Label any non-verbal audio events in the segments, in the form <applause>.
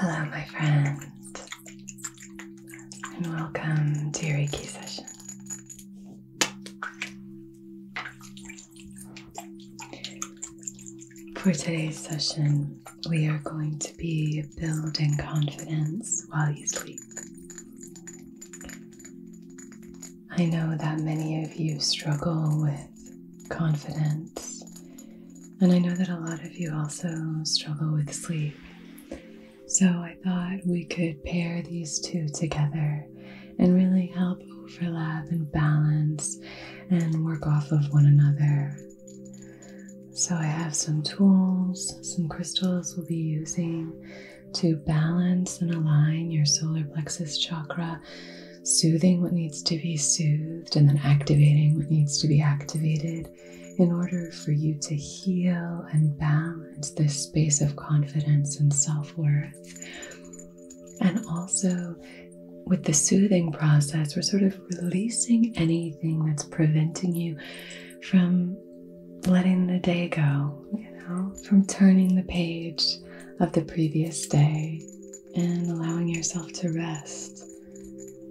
Hello, my friend, and welcome to your Reiki session. For today's session, we are going to be building confidence while you sleep. I know that many of you struggle with confidence, and I know that a lot of you also struggle with sleep. So I thought we could pair these two together and really help overlap and balance and work off of one another. So I have some tools, some crystals we'll be using to balance and align your solar plexus chakra, soothing what needs to be soothed and then activating what needs to be activated in order for you to heal and balance this space of confidence and self worth. And also, with the soothing process, we're sort of releasing anything that's preventing you from letting the day go, you know, from turning the page of the previous day and allowing yourself to rest.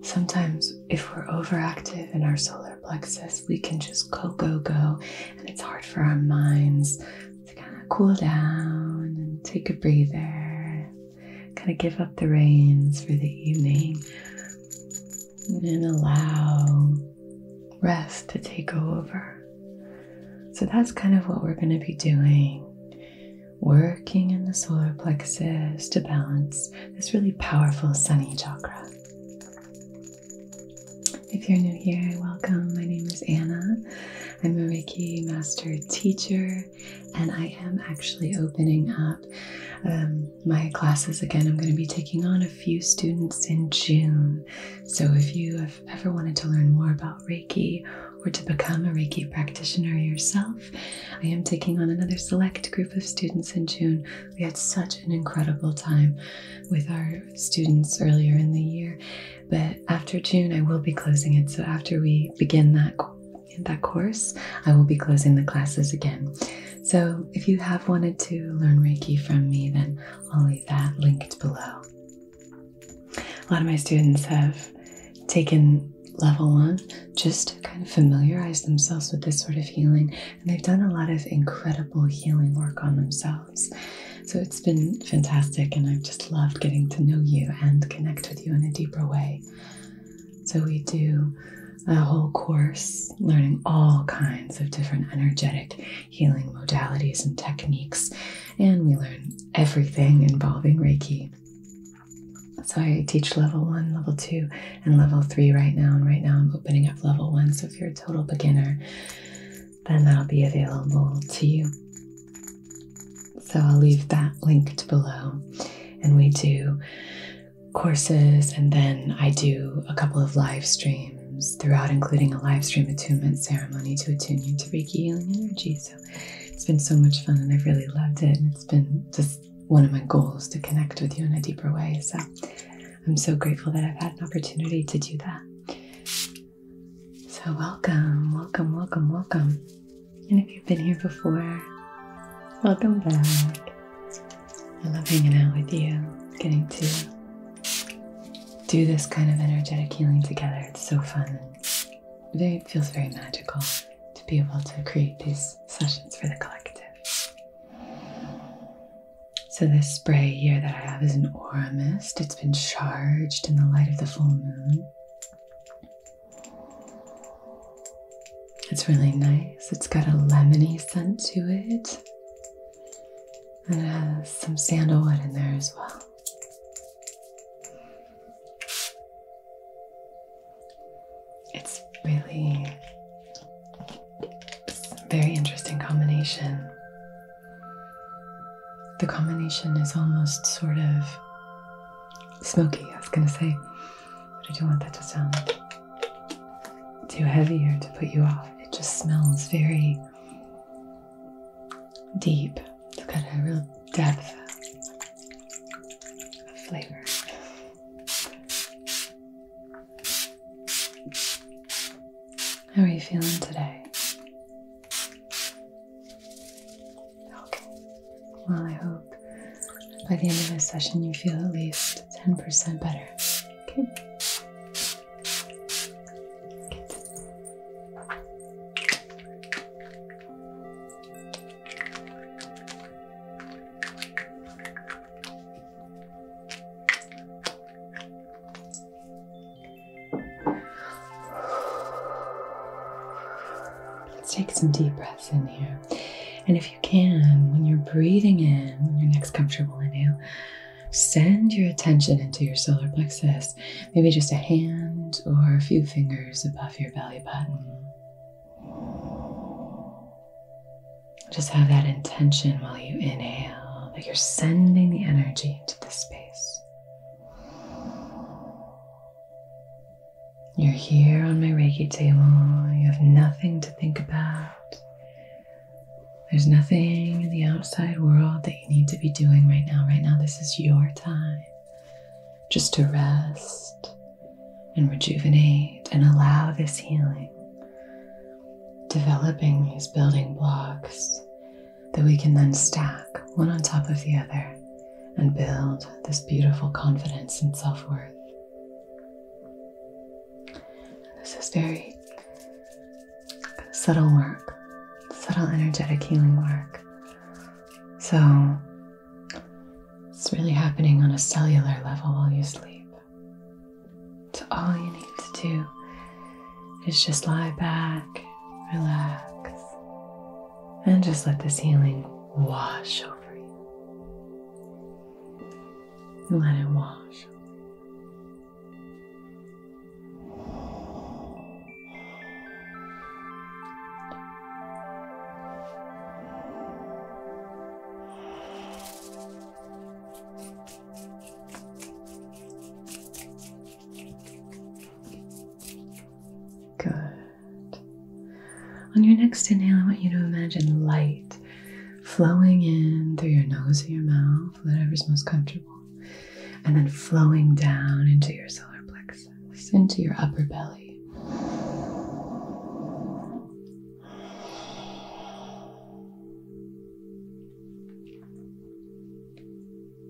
Sometimes, if we're overactive in our solar plexus, we can just go, go, go. And it's hard for our minds to kind of cool down and take a breather, kind of give up the reins for the evening and allow rest to take over. So that's kind of what we're going to be doing. Working in the solar plexus to balance this really powerful sunny chakra. If you're new here, welcome. My name is Anna. I'm a Reiki Master Teacher, and I am actually opening up um, my classes again. I'm going to be taking on a few students in June. So if you have ever wanted to learn more about Reiki or to become a Reiki practitioner yourself, I am taking on another select group of students in June we had such an incredible time with our students earlier in the year. But after June, I will be closing it. So after we begin that that course, I will be closing the classes again. So if you have wanted to learn Reiki from me, then I'll leave that linked below. A lot of my students have taken level one, just to kind of familiarize themselves with this sort of healing and they've done a lot of incredible healing work on themselves. So it's been fantastic, and I've just loved getting to know you and connect with you in a deeper way. So we do a whole course learning all kinds of different energetic healing modalities and techniques, and we learn everything involving Reiki. So I teach level one, level two, and level three right now. And right now I'm opening up level one. So if you're a total beginner, then that'll be available to you. So I'll leave that linked below. And we do courses, and then I do a couple of live streams throughout, including a live stream attunement ceremony to attune you to Reiki healing energy. So it's been so much fun, and I've really loved it. And it's been just one of my goals to connect with you in a deeper way. So I'm so grateful that I've had an opportunity to do that. So, welcome, welcome, welcome, welcome. And if you've been here before, welcome back. I love hanging out with you, getting to do this kind of energetic healing together. It's so fun. It feels very magical to be able to create these sessions for the collective. So, this spray here that I have is an aura mist. It's been charged in the light of the full moon. It's really nice. It's got a lemony scent to it. And it has some sandalwood in there as well. It's really very interesting combination. The combination is almost sort of smoky, I was gonna say, but I don't want that to sound too heavy or to put you off. It just smells very deep. It's got a real depth of flavor. How are you feeling today? Okay. Well, I hope by the end of this session you feel at least 10% better. Okay. Let's take some deep breaths in here. And if you can, when you're breathing in, your next comfortable inhale, send your attention into your solar plexus, maybe just a hand or a few fingers above your belly button. Just have that intention while you inhale that you're sending the energy into the space. You're here on my Reiki table. You have nothing to think about. There's nothing in the outside world that you need to be doing right now. Right now, this is your time just to rest and rejuvenate and allow this healing developing these building blocks that we can then stack one on top of the other and build this beautiful confidence and self worth. This is very subtle work, subtle energetic healing work. So it's really happening on a cellular level while you sleep. So, all you need to do is just lie back, relax, and just let this healing wash over you. And let it wash. Good. On your next inhale, I want you to imagine light flowing in through your nose or your mouth, whatever's most comfortable, and then flowing down into your solar plexus, into your upper belly.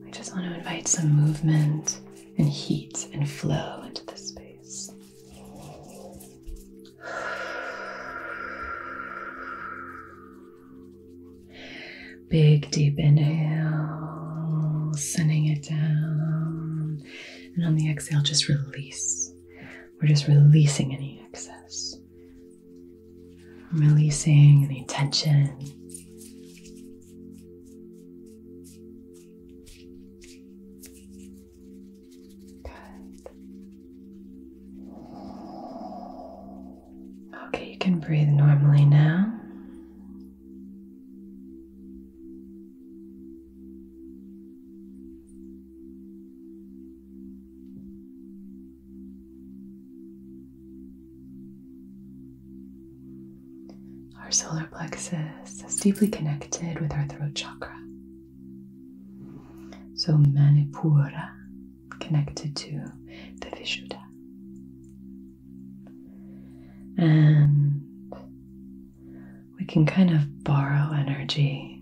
I just want to invite some movement and heat and flow into this space. Big deep inhale, sending it down. And on the exhale, just release. We're just releasing any excess releasing any tension. Good. Okay, you can breathe normally now. Our solar plexus is deeply connected with our throat chakra. So, Manipura connected to the Vishuddha. And we can kind of borrow energy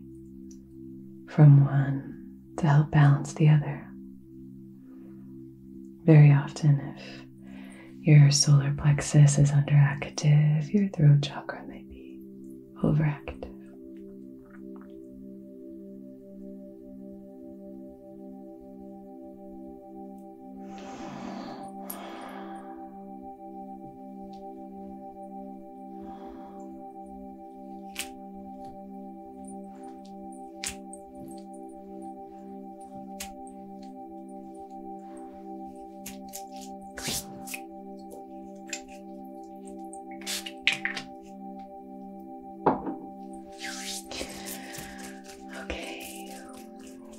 from one to help balance the other. Very often, if your solar plexus is underactive, your throat chakra might be overactive. Okay,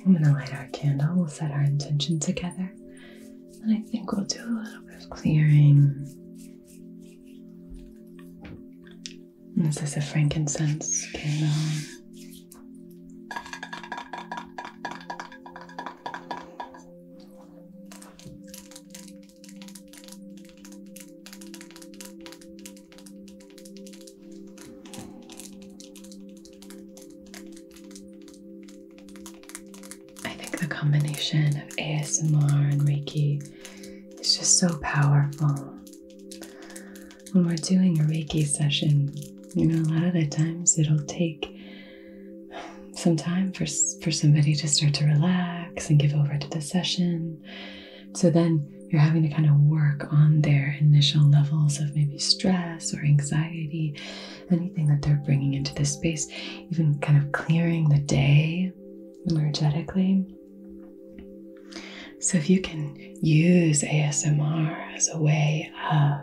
I'm gonna light our candle. We'll set our intention together, and I think we'll do a little bit of clearing. This is a frankincense candle. I think the combination of ASMR and Reiki it's just so powerful. When we're doing a Reiki session, you know, a lot of the times it'll take some time for, for somebody to start to relax and give over to the session. So then you're having to kind of work on their initial levels of maybe stress or anxiety, anything that they're bringing into the space, even kind of clearing the day energetically. So, if you can use ASMR as a way of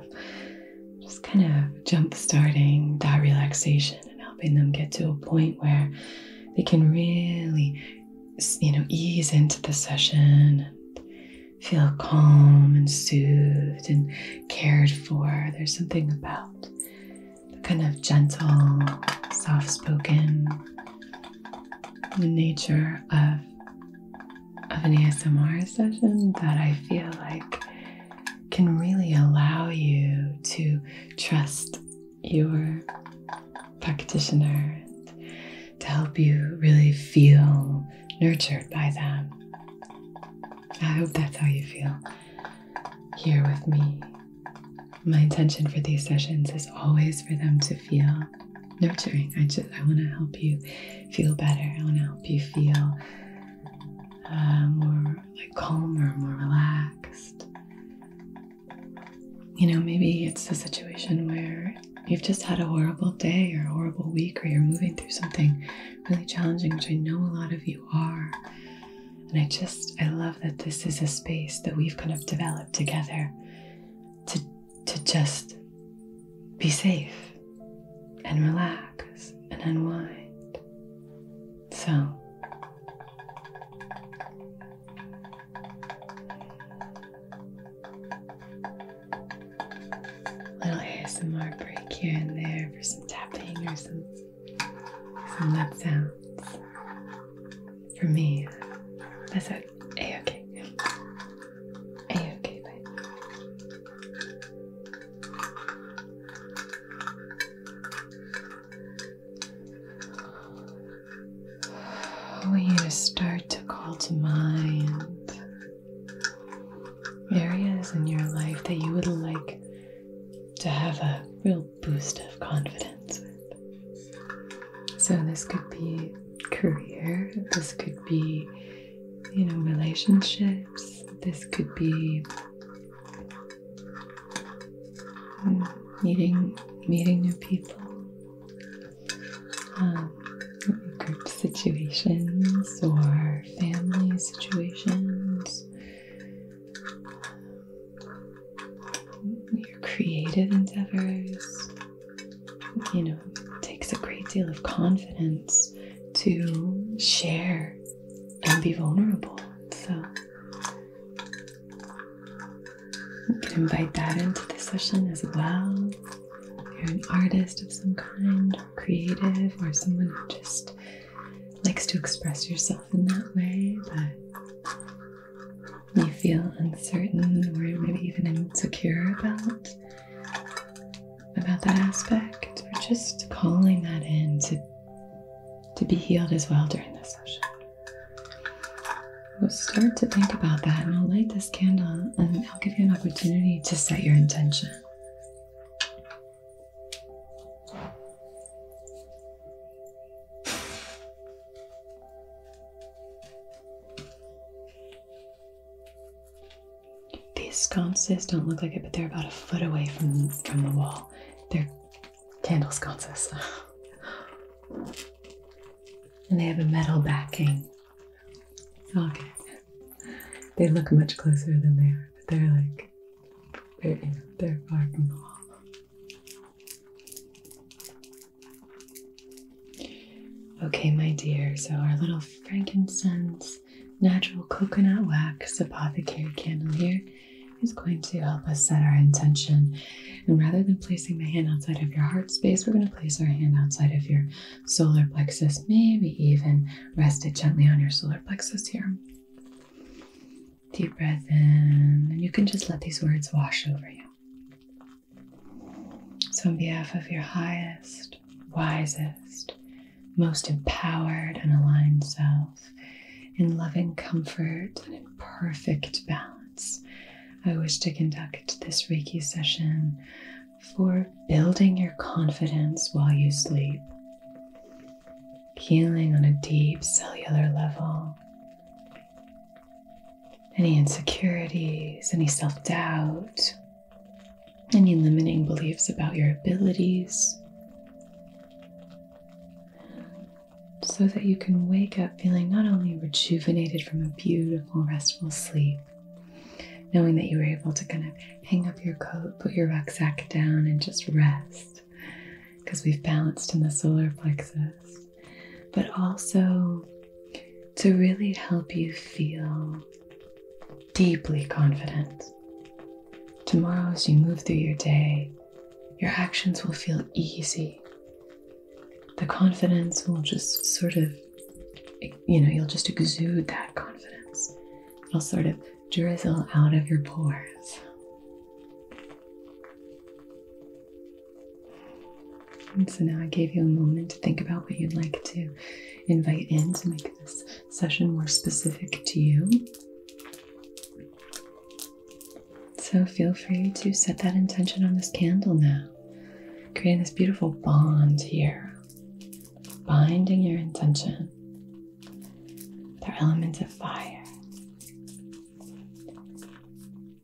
just kind of jump starting that relaxation and helping them get to a point where they can really, you know, ease into the session and feel calm and soothed and cared for, there's something about the kind of gentle, soft spoken nature of of an ASMR session that I feel like can really allow you to trust your practitioner to help you really feel nurtured by them. I hope that's how you feel here with me. My intention for these sessions is always for them to feel nurturing. I just I want to help you feel better. I want to help you feel uh, more like calmer, more relaxed. You know, maybe it's a situation where you've just had a horrible day or a horrible week, or you're moving through something really challenging, which I know a lot of you are. And I just, I love that this is a space that we've kind of developed together to, to just be safe and relax and unwind. So, little ASMR break here and there for some tapping or some some love sounds for me. That's it. A okay. A okay, babe. I want you to start to call to mind areas in your life that you would like to have a real boost of confidence So, this could be career, this could be, you know, relationships, this could be hmm, meeting meeting new people um, group situations or family situations your creative endeavors. You know, it takes a great deal of confidence to share and be vulnerable. So you can invite that into the session as well. If you're an artist of some kind, creative, or someone just likes to express yourself in that way, but you feel uncertain or maybe even insecure about about that aspect, we're just calling that in to to be healed as well during this session. We'll start to think about that, and I'll light this candle, and I'll give you an opportunity to set your intention. These sconces don't look like it, but they're about a foot away from from the wall. They're candle sconces. <laughs> and they have a metal backing. Okay. They look much closer than they are, but they're like they're, they're far from the wall. Okay, my dear, so our little frankincense natural coconut wax apothecary candle here is going to help us set our intention. And rather than placing the hand outside of your heart space, we're going to place our hand outside of your solar plexus, maybe even rest it gently on your solar plexus here. Deep breath in, and you can just let these words wash over you. So, on behalf of your highest, wisest, most empowered and aligned self, in loving comfort and in perfect balance, I wish to conduct this Reiki session for building your confidence while you sleep healing on a deep cellular level. Any insecurities, any self doubt, any limiting beliefs about your abilities, so that you can wake up feeling not only rejuvenated from a beautiful, restful sleep, knowing that you were able to kind of hang up your coat, put your rucksack down, and just rest because we've balanced in the solar plexus, but also to really help you feel deeply confident. Tomorrow, as you move through your day, your actions will feel easy. The confidence will just sort of, you know, you'll just exude that confidence. It'll sort of drizzle out of your pores so now I gave you a moment to think about what you'd like to invite in to make this session more specific to you. So feel free to set that intention on this candle now, creating this beautiful bond here, binding your intention. They're elements of fire,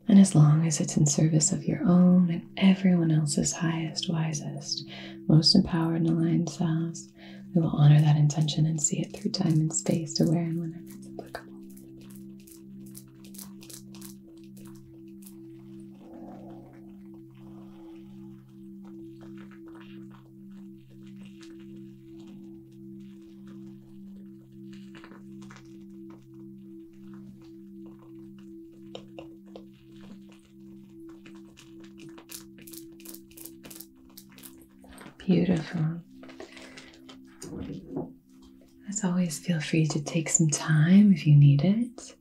and as long as it's in service of your own and everyone else's highest, wisest, most empowered and aligned selves, we will honor that intention and see it through time and space to where and whenever it's applicable. Beautiful. As always, feel free to take some time if you need it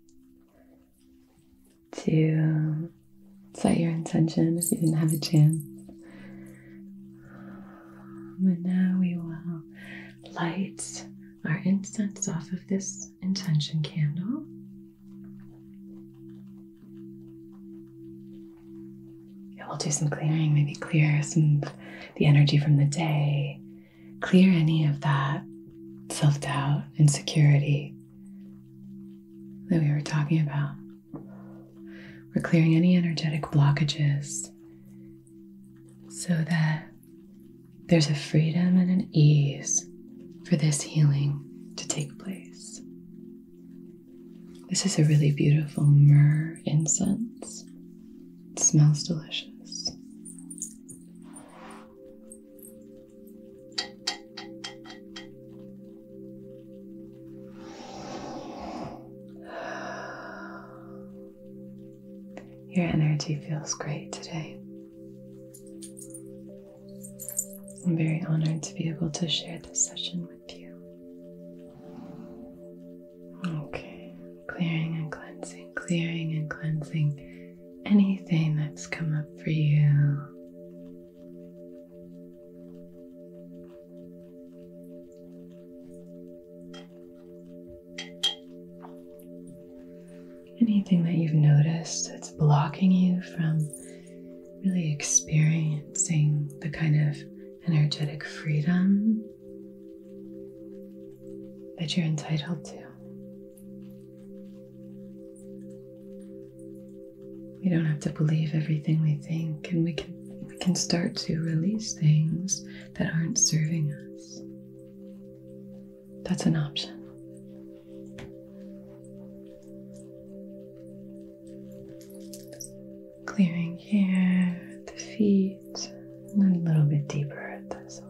to set your intention if you didn't have a chance. And now we will light our incense off of this intention candle. we'll do some clearing, maybe clear some the energy from the day, clear any of that self doubt, insecurity that we were talking about. We're clearing any energetic blockages so that there's a freedom and an ease for this healing to take place. This is a really beautiful myrrh incense. smells delicious. Your energy feels great today. I'm very honored to be able to share this session with you. Okay, clearing and cleansing, clearing and cleansing anything that's come up for you. Anything that you've noticed that's blocking you from really experiencing the kind of energetic freedom that you're entitled to. We don't have to believe everything we think, and we can can start to release things that aren't serving us. That's an option. Clearing here, the feet, and then a little bit deeper at the this one.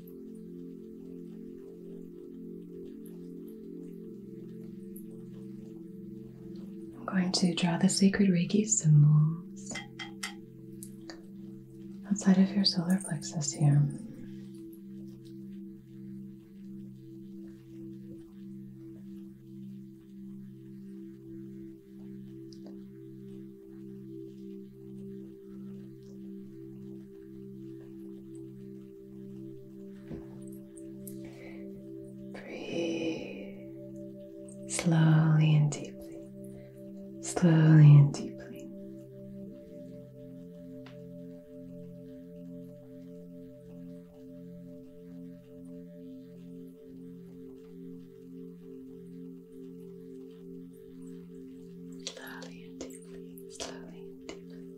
I'm going to draw the sacred Reiki symbols outside of your solar plexus here. Breathe slowly and deeply, slowly and deeply. Slowly and deeply, slowly and deeply.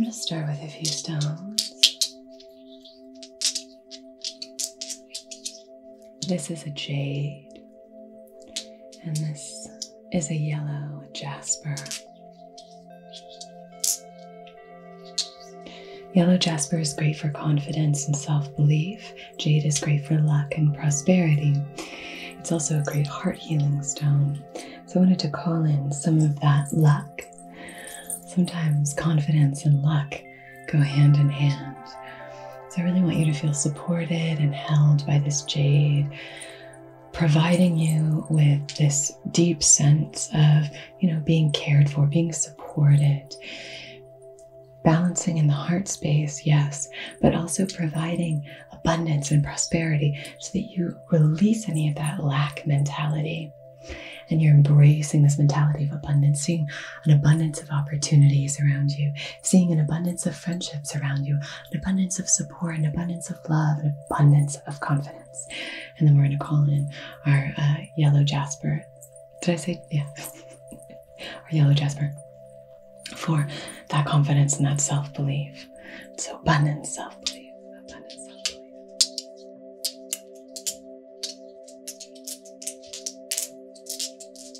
I'm going to start with a few stones. This is a jade, and this is a yellow jasper. Yellow jasper is great for confidence and self belief. Jade is great for luck and prosperity. It's also a great heart healing stone. So I wanted to call in some of that luck. Sometimes confidence and luck go hand in hand. So I really want you to feel supported and held by this jade, providing you with this deep sense of, you know, being cared for, being supported. Balancing in the heart space, yes, but also providing abundance and prosperity so that you release any of that lack mentality and you're embracing this mentality of abundance, seeing an abundance of opportunities around you, seeing an abundance of friendships around you, an abundance of support, an abundance of love, an abundance of confidence. And then we're going to call in our uh, yellow jasper. Did I say, yeah, <laughs> our yellow jasper for that confidence and that self belief. So, abundance self belief, abundant self belief.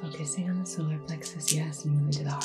Focusing on the solar plexus, yes, moving to the heart.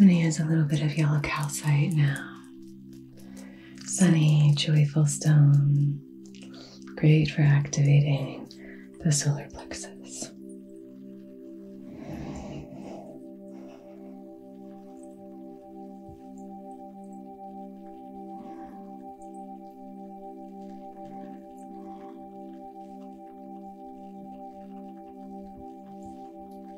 I'm going to use a little bit of yellow calcite now sunny, joyful stone. Great for activating the solar plexus.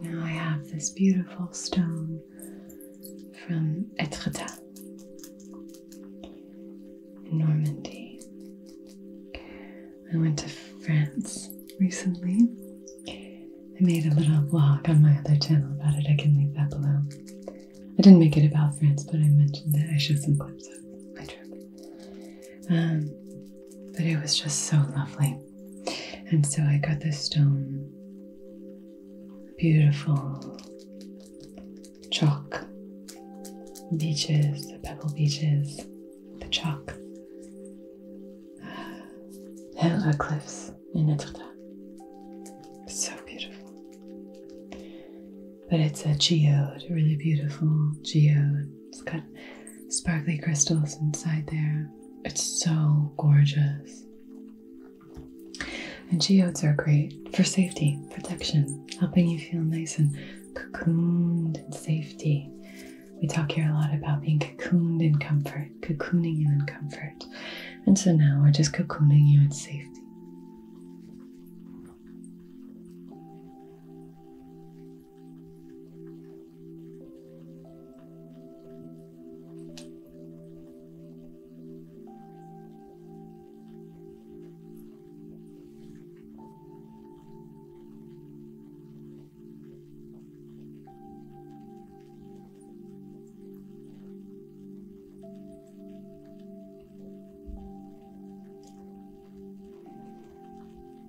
Now I have this beautiful stone from Etretat in Normandy. I went to France recently I made a little vlog on my other channel about it. I can leave that below. I didn't make it about France, but I mentioned it. I showed some clips of my trip. Um, but it was just so lovely. And so I got this stone, beautiful chalk beaches, the pebble beaches, the chalk, uh, hill cliffs in So beautiful. But it's a geode, really beautiful geode. It's got sparkly crystals inside there. It's so gorgeous. And geodes are great for safety, protection, helping you feel nice and cocooned in safety. We talk here a lot about being cocooned in comfort, cocooning you in comfort. And so now we're just cocooning you in safety.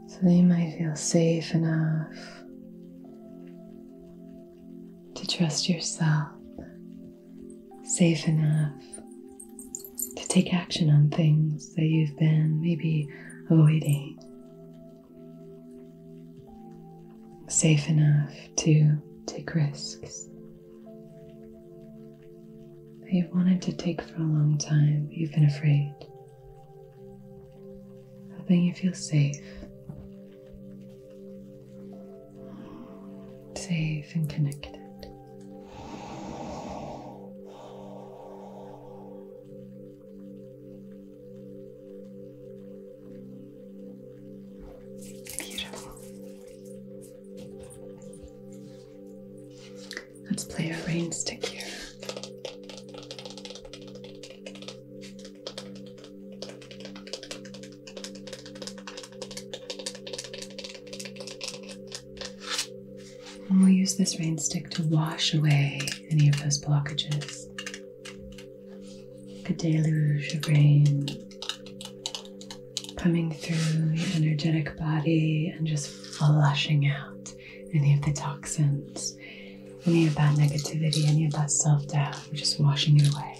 So they might feel safe enough to trust yourself, safe enough to take action on things that you've been maybe avoiding, safe enough to take risks that you've wanted to take for a long time, but you've been afraid. Hoping you feel safe. Safe and connected. Beautiful. Let's play a rainstick here. And we'll use this rainstick to wash away any of those blockages a deluge of rain coming through your energetic body and just flushing out any of the toxins, any of that negativity, any of that self doubt, just washing it away.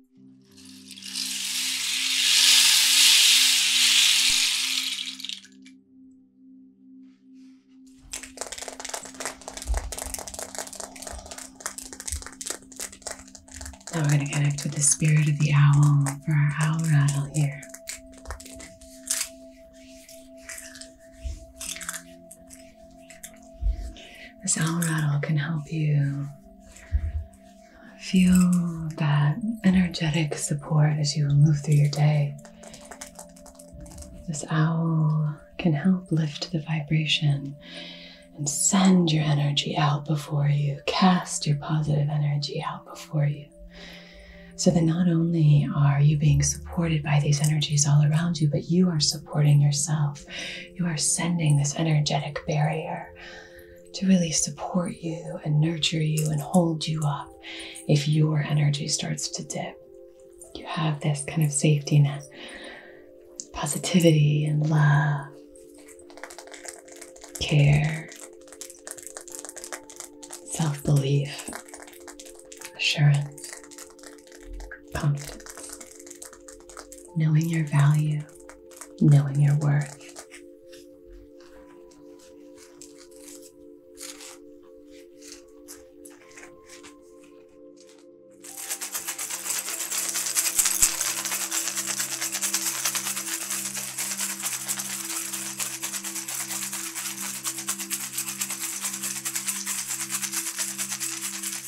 Now we're going to connect with the spirit of the owl for our owl rattle here. This owl rattle can help you Feel that energetic support as you move through your day. This owl can help lift the vibration and send your energy out before you, cast your positive energy out before you. So that not only are you being supported by these energies all around you, but you are supporting yourself. You are sending this energetic barrier to really support you and nurture you and hold you up if your energy starts to dip. You have this kind of safety net, positivity and love, care, self belief, assurance, confidence, knowing your value, knowing your worth.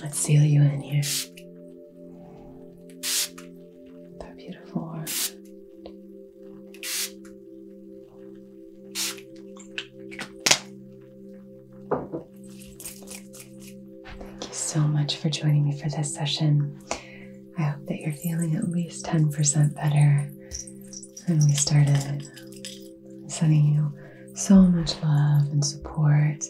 Let's seal you in here. That beautiful heart. Thank you so much for joining me for this session. I hope that you're feeling at least 10% better than we started. sending you so much love and support.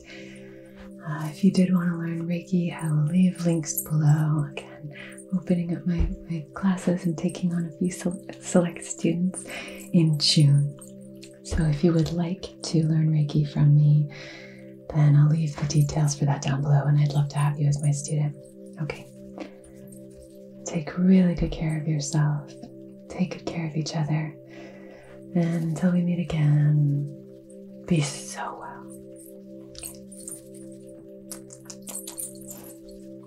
Uh, if you did want to learn Reiki, I will leave links below. Again, opening up my classes and taking on a few select students in June. So, if you would like to learn Reiki from me, then I'll leave the details for that down below and I'd love to have you as my student. Okay. Take really good care of yourself, take good care of each other, and until we meet again, be so well.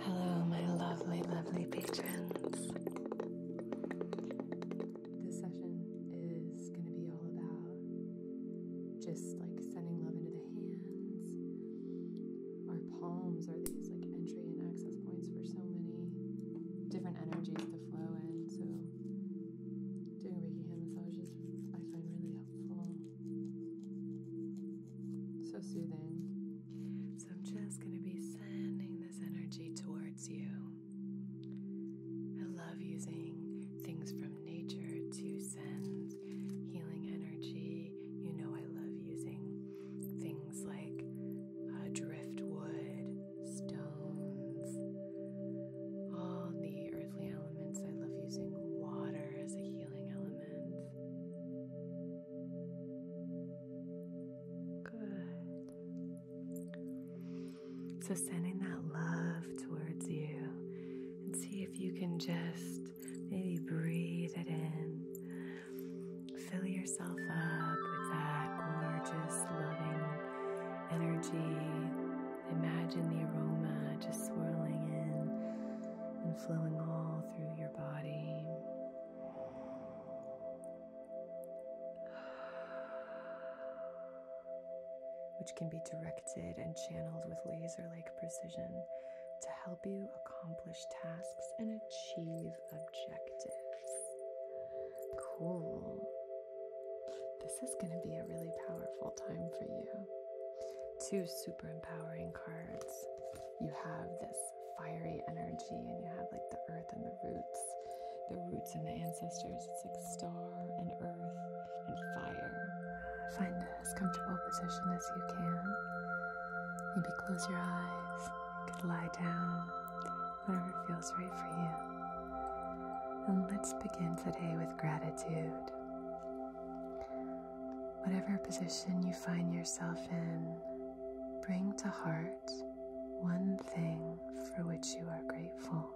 Hello, my lovely, lovely patrons. This session is going to be all about just like sending love into the hands. Our palms are these like entry and access points for so many different energies to flow in. So, doing Reiki hand massages I find really helpful. So soothing. So I'm just going to be sending this energy towards you. I love using things from nature to send healing energy. You know, I love using things like uh, driftwood, stones, all the earthly elements. I love using water as a healing element. Good. So sending that love towards you and see if you can just maybe breathe it in. Fill yourself up with that gorgeous, loving energy. Imagine the aroma just swirling in and flowing all through your body which can be directed and channeled with laser like precision to help you accomplish tasks and achieve objectives. Cool. This is going to be a really powerful time for you. Two super empowering cards. You have this fiery energy, and you have like the earth and the roots, the roots and the ancestors. It's like star and earth and fire. Find as comfortable position as you can. Maybe close your eyes. You could lie down. Whatever feels right for you. And let's begin today with gratitude. Whatever position you find yourself in, bring to heart one thing for which you are grateful.